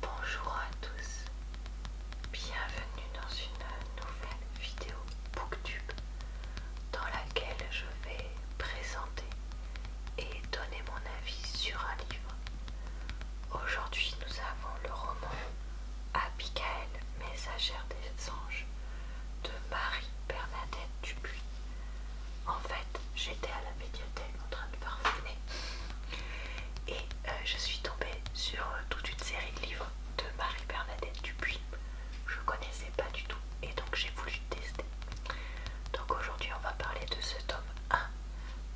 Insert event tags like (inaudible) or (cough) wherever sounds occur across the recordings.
Bonjour à tous, bienvenue dans une nouvelle vidéo Booktube dans laquelle je vais présenter et donner mon avis sur un livre. Aujourd'hui nous avons le roman Abigail, messagère des anges de Marie Bernadette Dupuis. En fait, j'étais à la médiathèque en train de parfumer et euh, je suis tombée sur euh, toute une série de livres de Marie-Bernadette Dupuis. Je connaissais pas du tout et donc j'ai voulu tester. Donc aujourd'hui on va parler de ce tome 1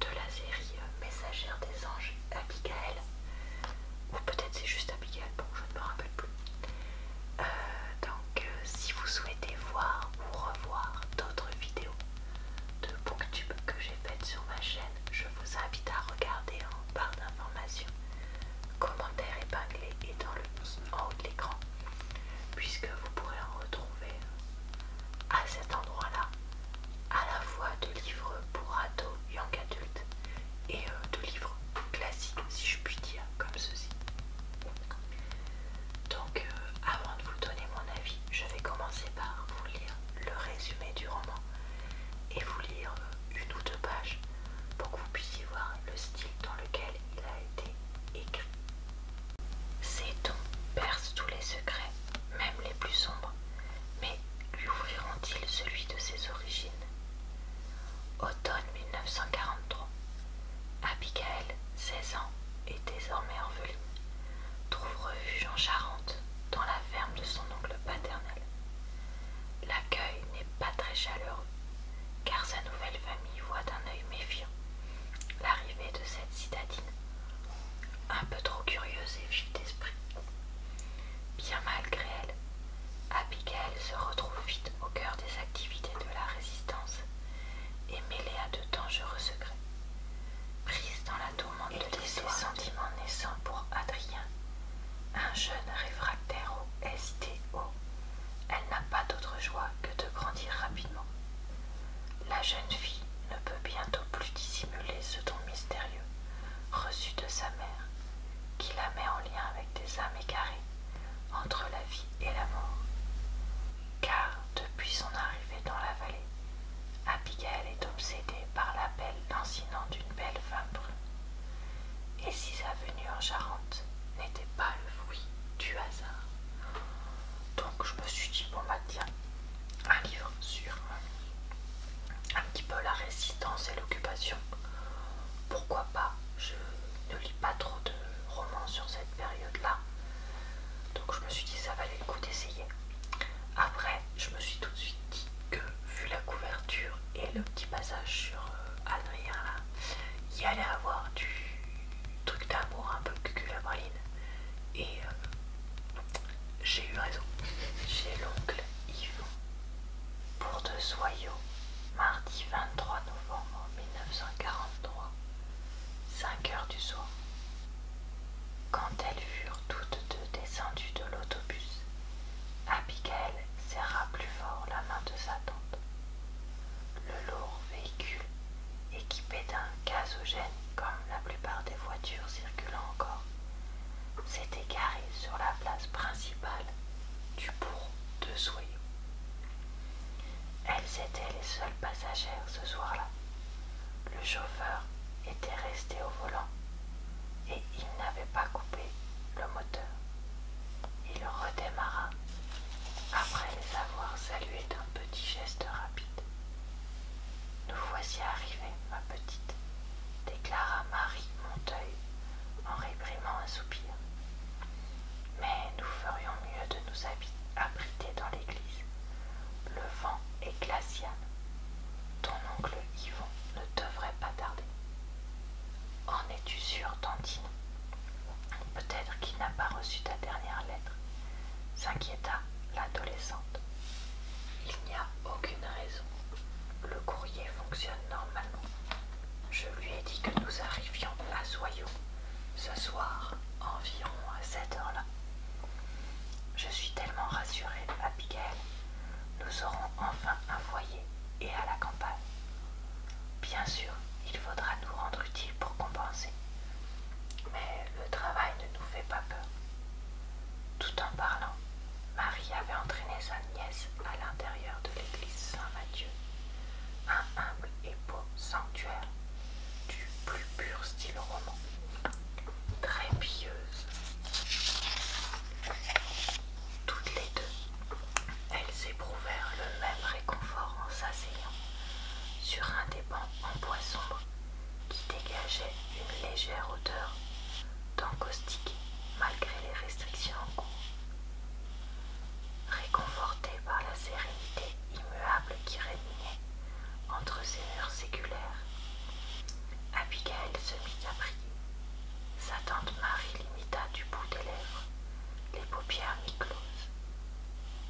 de la série euh, Messagère des anges Abigail. Ou peut-être c'est juste Abigail, bon je ne me rappelle plus. donc si vous souhaitez voir ou revoir d'autres vidéos de booktube que j'ai faites sur ma chaîne, je vous invite à regarder en barre d'informations, commentaires épinglés et dans le en haut de l'écran, puisque vous pourrez en retrouver euh, à cet endroit-là à la fois de livres pour ados, young adultes et euh, de livres classiques, si je puis dire, comme ceci. Donc euh, avant de vous donner mon avis, je vais commencer par vous lire le résumé du roman et vous lire euh, une ou deux pages pour que vous puissiez voir le style dans lequel il a été écrit. Ces dons percent tous les secrets, même les plus sombres, mais lui ouvriront-ils celui de ses origines Automne 1943, Abigail, 16 ans et désormais orpheline, trouve refuge en Charente dans la ferme de son oncle paternel. L'accueil n'est pas très chaleureux car sa nouvelle famille voit d'un œil méfiant l'arrivée de cette citadine, un peu trop curieuse et vive d'esprit. Bien malgré elle, Abigail se retrouve vite au cœur des activités de la résistance et mêlée à de dangereux secrets. Prise dans la tourmente de ses sentiments naissants pour Adrien, un jeune réfractaire au STO, elle n'a pas d'autre joie que de grandir rapidement. La jeune fille ne peut bientôt plus dissimuler ce don mystérieux reçu de sa mère, qui la met en lien avec des âmes égarées entre la vie et l'amour. Car depuis son arrivée dans la vallée, Abigail est obsédée par l'appel lancinant d'une belle femme brune. Et si sa venue en Charente n'était pas le fruit du hasard Donc je me suis dit, bon bah tiens, un livre sur euh, un petit peu la résistance et l'occupation. Pourquoi pas Je ne lis pas trop de romans sur cette période-là. Donc je me suis dit ça valait le coup d'essayer. Après, je me suis tout de suite dit que vu la couverture et le petit passage sur euh, Adrien là, il allait avoir du truc d'amour un peu cul-cul Et euh, j'ai eu raison. J'ai l'oncle Yvon pour deux soyaux mardi 23 novembre 1943 5 heures du soir. Quand elles furent toutes deux descendues de l'autobus, Abigail serra plus fort la main de sa tante. Le lourd véhicule, équipé d'un gazogène comme la plupart des voitures circulant encore, s'était garé sur la place principale du bourg de Soyaux. Elles étaient les seules passagères ce soir-là. Le chauffeur était resté au volant et il n'avait pas coupé le moteur. Il redémarra après les avoir saluées d'un petit geste rapide. Nous voici arrivés, ma petite, déclara Marie Monteuil en réprimant un soupir mais nous ferions mieux de nous abriter dans l'église. Le vent est glacial. Ton oncle Yvon ne devrait pas tarder. En es-tu sûre, Tantine Peut-être qu'il n'a pas reçu ta dernière lettre, s'inquiéta l'adolescente. Il n'y a aucune raison. Le courrier fonctionne normalement. Je lui ai dit que nous arrivions à Soyeux ce soir, environ à cette heures, là Je suis tellement rassurée, Abigail. Nous aurons enfin un foyer et à la campagne. Bien sûr, il faudra nous rendre utiles pour compenser. Mais le travail ne nous fait pas peur. Tout en parlant, Marie avait entraîné sa nièce à l'intérieur de l'église Saint-Mathieu, un humble et peau sanctuaire du plus pur style roman, très pieuse. Toutes les deux, elles éprouvèrent le même réconfort en s'asseyant sur un des bancs en bois sombre qui dégageait une légère odeur d'encaustique malgré les restrictions en cours. Réconfortée par la sérénité immuable qui régnait entre ces murs séculaires, Abigail se mit à prier. Sa tante Marie l'imita du bout des lèvres, les paupières mi-closes.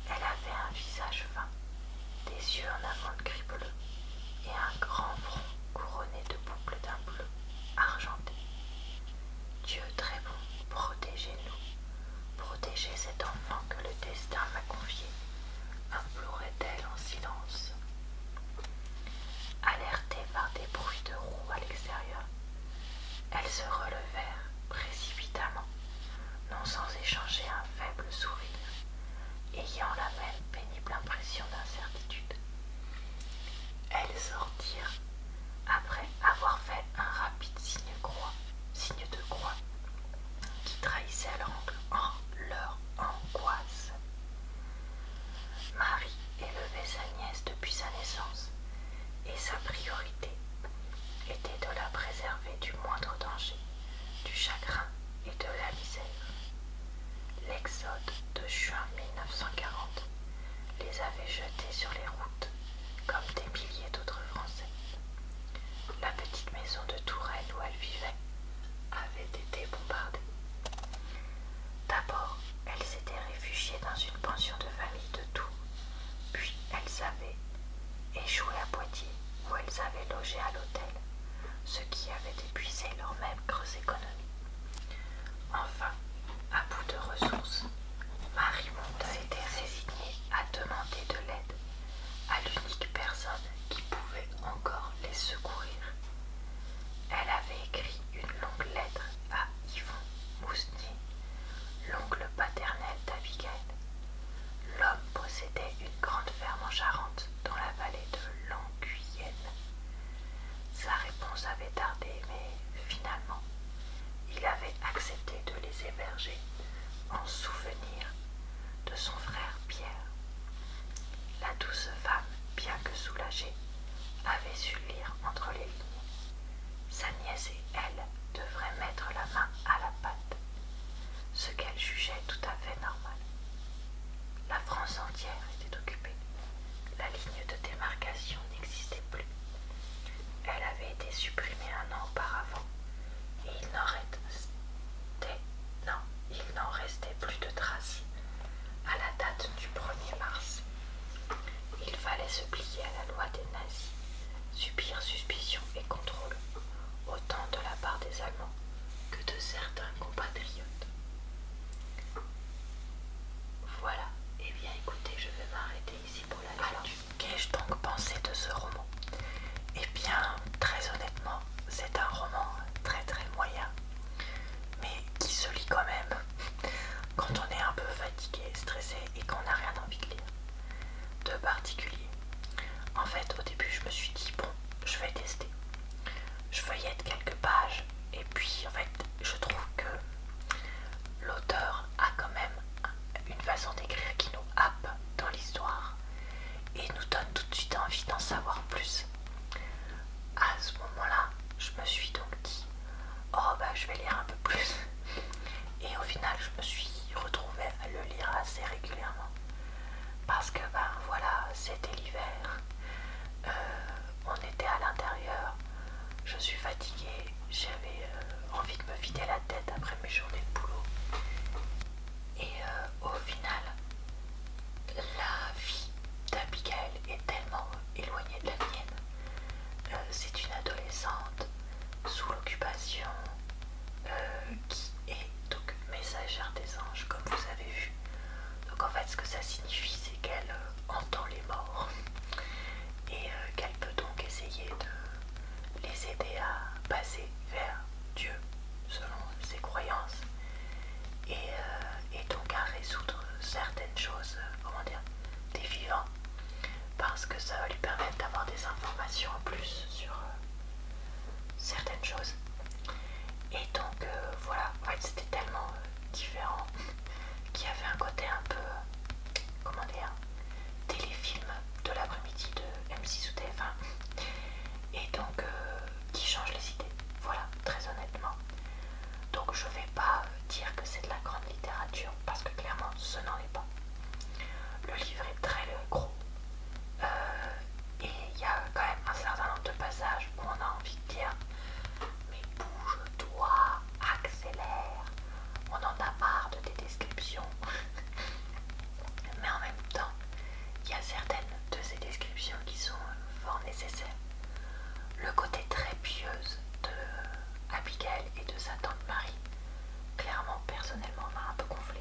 Elle avait un visage fin, des yeux en amande gris bleu et un grand front couronné de boucles d'un bleu argenté, Dieu très bon, protégez-nous, protégez cet enfant que le destin m'a confié, implorait-elle en silence. Alertée par des bruits de roues à l'extérieur, elles se relevèrent précipitamment, non sans échanger un faible sourire, ayant la même pénible impression d'incertitude. Elles sortirent après avoir fait un rapide signe, croix, signe de croix qui trahissait en leur angoisse. Marie élevait sa nièce depuis sa naissance et sa priorité était de la préserver du moindre danger, du chagrin et de la misère. L'exode de juin 1940 les avaient jetés sur les routes, comme des milliers d'autres Français. La petite maison de Touraine où elles vivaient, avait été bombardée. D'abord, elles s'étaient réfugiées dans une pension de famille de Tours, puis elles avaient échoué à Poitiers, où elles avaient logé à l'hôtel, ce qui avait épuisé leurs même creuse économies. Enfin, à bout de ressources, Marie Monta était résignée à demander de l'aide à l'unique personne qui pouvait encore les secourir. Elle avait écrit une longue lettre à Yvon Mousnier, l'oncle paternel d'Abigail. L'homme possédait une grande ferme en Charente dans la vallée de Languyenne. Sa réponse avait tardé, mais finalement, il avait accepté de les héberger en souvenir de son frère Pierre. La douce femme, bien que soulagée, avait su lire entre les lignes. Sa nièce et elle devraient mettre la main à la pâte, ce qu'elle jugeait tout à fait normal. La France entière était occupée la ligne de démarcation n'existait plus. Elle avait été supprimée un an auparavant et il n'en restait, plus de traces à la date du 1er mars. Il fallait se plier à la loi des nazis, subir suspicion et contrôle, autant de la part des Allemands que de certains compatriotes. Voilà, et eh bien écoutez, je vais m'arrêter ici pour la lecture. Qu'ai-je donc pensé de ce roman Eh bien, très honnêtement, c'est un roman très très moyen, mais qui se lit quand même (laughs) quand on est un peu fatigué, stressé et qu'on n'a rien envie de lire. De particulier. En fait, au début, je me suis dit, bon, je vais tester. Je vais être quelques pages et puis en fait, je trouve que l'auteur a quand même une façon d'écrire qui nous happe dans l'histoire et nous donne tout de suite envie d'en savoir plus. À ce moment-là, je me suis donc dit Oh bah je vais lire un peu plus. (laughs) Et au final, je me suis retrouvée à le lire assez régulièrement. Parce que ben voilà, c'était l'hiver. Euh, on était à l'intérieur, je suis fatiguée, j'avais euh, envie de me vider la tête après mes journées de boulot. Et euh, au final, la vie d'Abigail est tellement éloignée de la mienne. C'est une adolescente sous l'occupation qui est donc messagère des anges, comme vous avez vu. Donc en fait ce que ça signifie c'est qu'elle euh, entend les morts et euh, qu'elle peut donc essayer de les aider à passer vers Dieu selon ses croyances et, euh, donc à résoudre certaines choses, comment dire, des vivants parce que ça va lui permettre d'avoir des informations en plus sur certaines choses. Et donc euh, voilà, c'était tellement euh, différent (laughs) qu'il y avait un côté un peu, comment dire, téléfilm de l'après-midi de M6 ou TF1 et donc euh, qui change les idées, voilà, très honnêtement. Donc je vais pas dire que c'est de la grande littérature parce que clairement ce n'en est pas. Le livre est très gros et il y a quand même un certain nombre de passages où on a envie de dire mais bouge-toi, accélère, on en a marre de tes descriptions. (laughs) mais en même temps, il y a certaines de ces descriptions qui sont fort nécessaires. Le côté très pieuse de Abigail et de sa tante Marie, clairement personnellement m'a un peu gonflé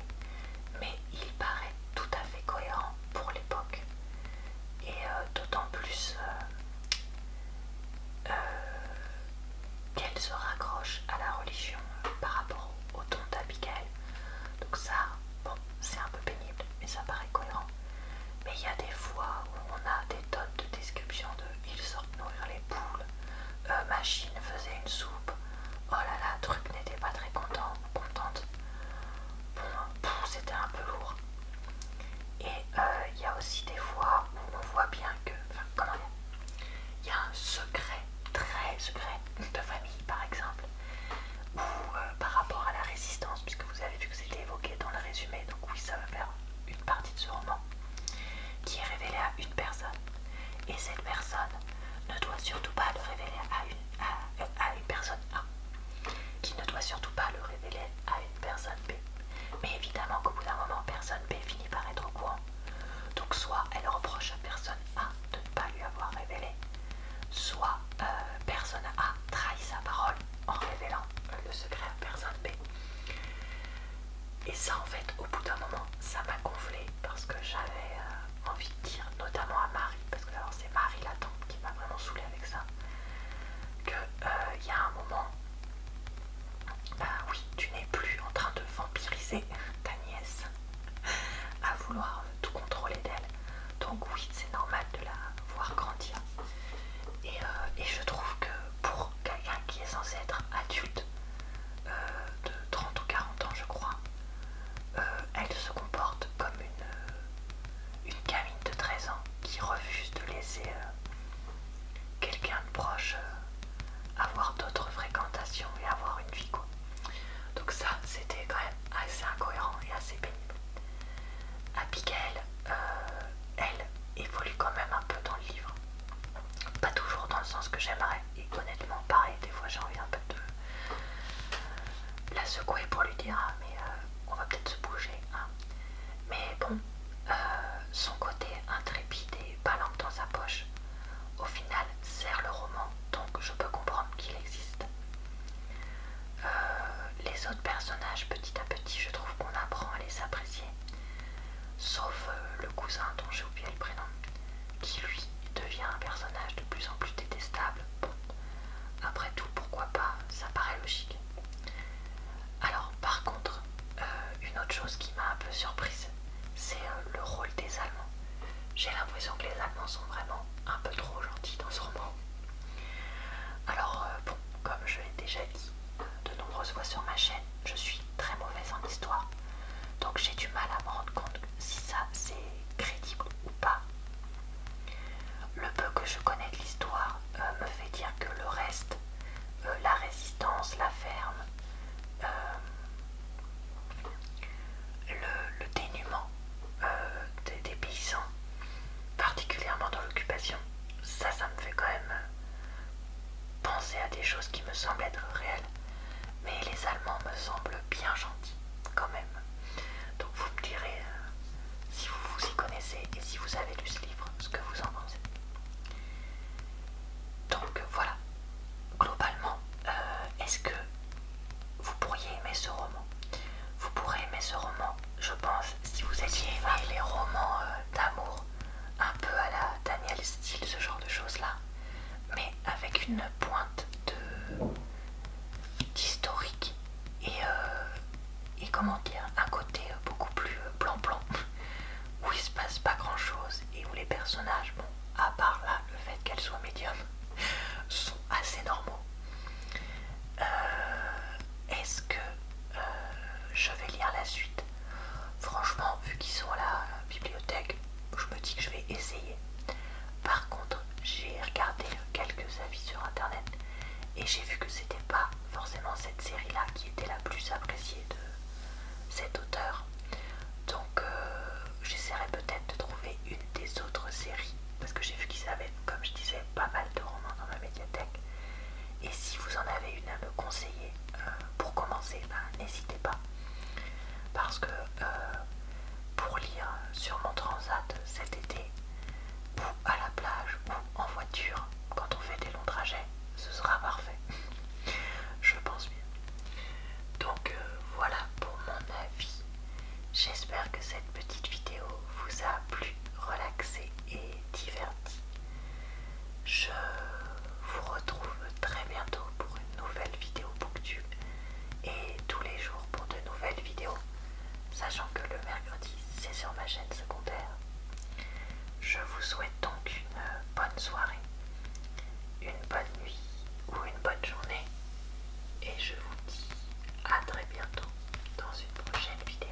mais il paraît tout à fait cohérent pour l'époque. Et euh, d'autant plus euh, euh, qu'elle se raccroche à la religion par rapport au ton d'Abigail. Donc ça, bon, c'est un peu pénible, mais ça paraît cohérent. Mais il y a des fois où on a des tonnes de description de « ils sortent nourrir les poules machine faisait une soupe »,« oh là là, truc n'était pas très content, contente » bon, c'était un peu lourd. Et il euh, y a aussi des fois où on voit bien que, enfin, comment dire, il y a un secret, très secret de famille par exemple, ou euh, par rapport à la résistance, puisque vous avez vu que c'était évoqué dans le résumé, donc oui, ça va faire une partie de ce roman, qui est révélé à une personne. Et cette personne ne doit surtout pas le révéler à une à, une personne A, qui ne doit surtout pas le révéler à une personne B. Mais évidemment qu'au bout d'un moment, personne B finit par être au courant. Donc soit elle reproche à personne A de ne pas lui avoir révélé, soit euh, personne A trahit sa parole en révélant le secret à personne B. Et ça en fait, au bout d'un moment, ça m'a gonflé parce que j'avais... Euh, envie de dire, notamment à Marie, parce que d'abord c'est Marie la tante qui m'a vraiment saoulée avec ça, qu'il euh, il y a un moment, bah oui, tu n'es plus en train de vampiriser ta nièce à vouloir tout contrôler d'elle. Donc oui, c'est normal de la voir grandir. Et, euh, je trouve que pour quelqu'un qui est censé être adulte, euh, de 30 ou 40 ans je crois, euh, elle se comporte comme une, euh, une gamine de 13 ans qui refuse de laisser euh, quelqu'un de proche avoir d'autres fréquentations et avoir une vie quoi. Donc ça c'était quand même assez incohérent et assez pénible. Abigail, elle évolue quand même un peu dans le livre. Pas toujours dans le sens que j'aimerais, et honnêtement pareil des fois j'ai envie un peu de la secouer pour lui dire ah, mais euh, on va peut-être se bouger hein. mais bon euh, son côté intrépide et lampe dans sa poche au final sert le roman donc je peux comprendre qu'il existe euh, les autres personnages petit à petit je trouve qu'on apprend à les apprécier sauf le cousin dont j'ai oublié le prénom qui lui devient un personnage de plus en plus détestable. Bon, après tout, pourquoi pas, ça paraît logique. Alors, par contre, euh, une autre chose qui m'a un peu surprise, c'est euh, le rôle des Allemands. J'ai l'impression que les Allemands sont vraiment un peu trop gentils dans ce roman. Alors, euh, bon, comme je l'ai déjà dit de nombreuses fois sur ma chaîne, je suis très mauvaise en histoire. Donc j'ai du mal à me rendre compte si ça c'est crédible ou pas. Le peu que je connais de l'histoire euh, me fait dire que le reste, euh, la résistance, la ferme, euh, le, dénuement des, paysans, particulièrement dans l'occupation, ça, ça me fait quand même penser à des choses qui me semblent être réelles mais les Allemands me semblent bien gentils quand même. Donc vous me direz euh, si vous vous y connaissez et si vous avez lu ce livre, ce que vous en pensez. Donc voilà, globalement, euh, est-ce que vous pourriez aimer ce roman Vous pourrez aimer ce roman, je pense, si vous étiez aimé les romans euh, d'amour, un peu à la Daniel style, ce genre de choses-là mais avec une pointe d'historique et, euh, et comment dire, un côté beaucoup plus blanc-blanc euh, où il se passe pas grand chose et où les personnages, bon, à part là le fait qu'elles soient médium, (laughs) sont assez normaux. Euh, est-ce que je vais lire la suite Franchement, vu qu'ils sont à la bibliothèque, je me dis que je vais essayer. Par contre, j'ai regardé quelques avis sur internet et j'ai vu que c'était pas forcément cette série-là qui était la plus appréciée de cet auteur. Donc, euh, j'essaierai peut-être de trouver une des autres séries parce que j'ai vu qu'ils avaient, comme je disais, pas mal de romans dans ma médiathèque. Et si vous en avez une à me conseiller, euh, pour commencer, ben, n'hésitez pas. Parce que euh, pour lire sur mon transat cet été, ou à la plage, ou en voiture, quand on fait des longs trajets, ce sera parfait. (laughs) Je pense bien. Donc euh, voilà pour mon avis. J'espère que cette petite vidéo vous a plu, relaxé et diverti. Je vous retrouve très bientôt pour une nouvelle vidéo Booktube et tous les jours pour de nouvelles vidéos, sachant que le mercredi c'est sur ma chaîne secondaire. Je vous souhaite donc une euh, bonne soirée, une bonne nuit ou une bonne journée et je vous dis à très bientôt dans une prochaine vidéo.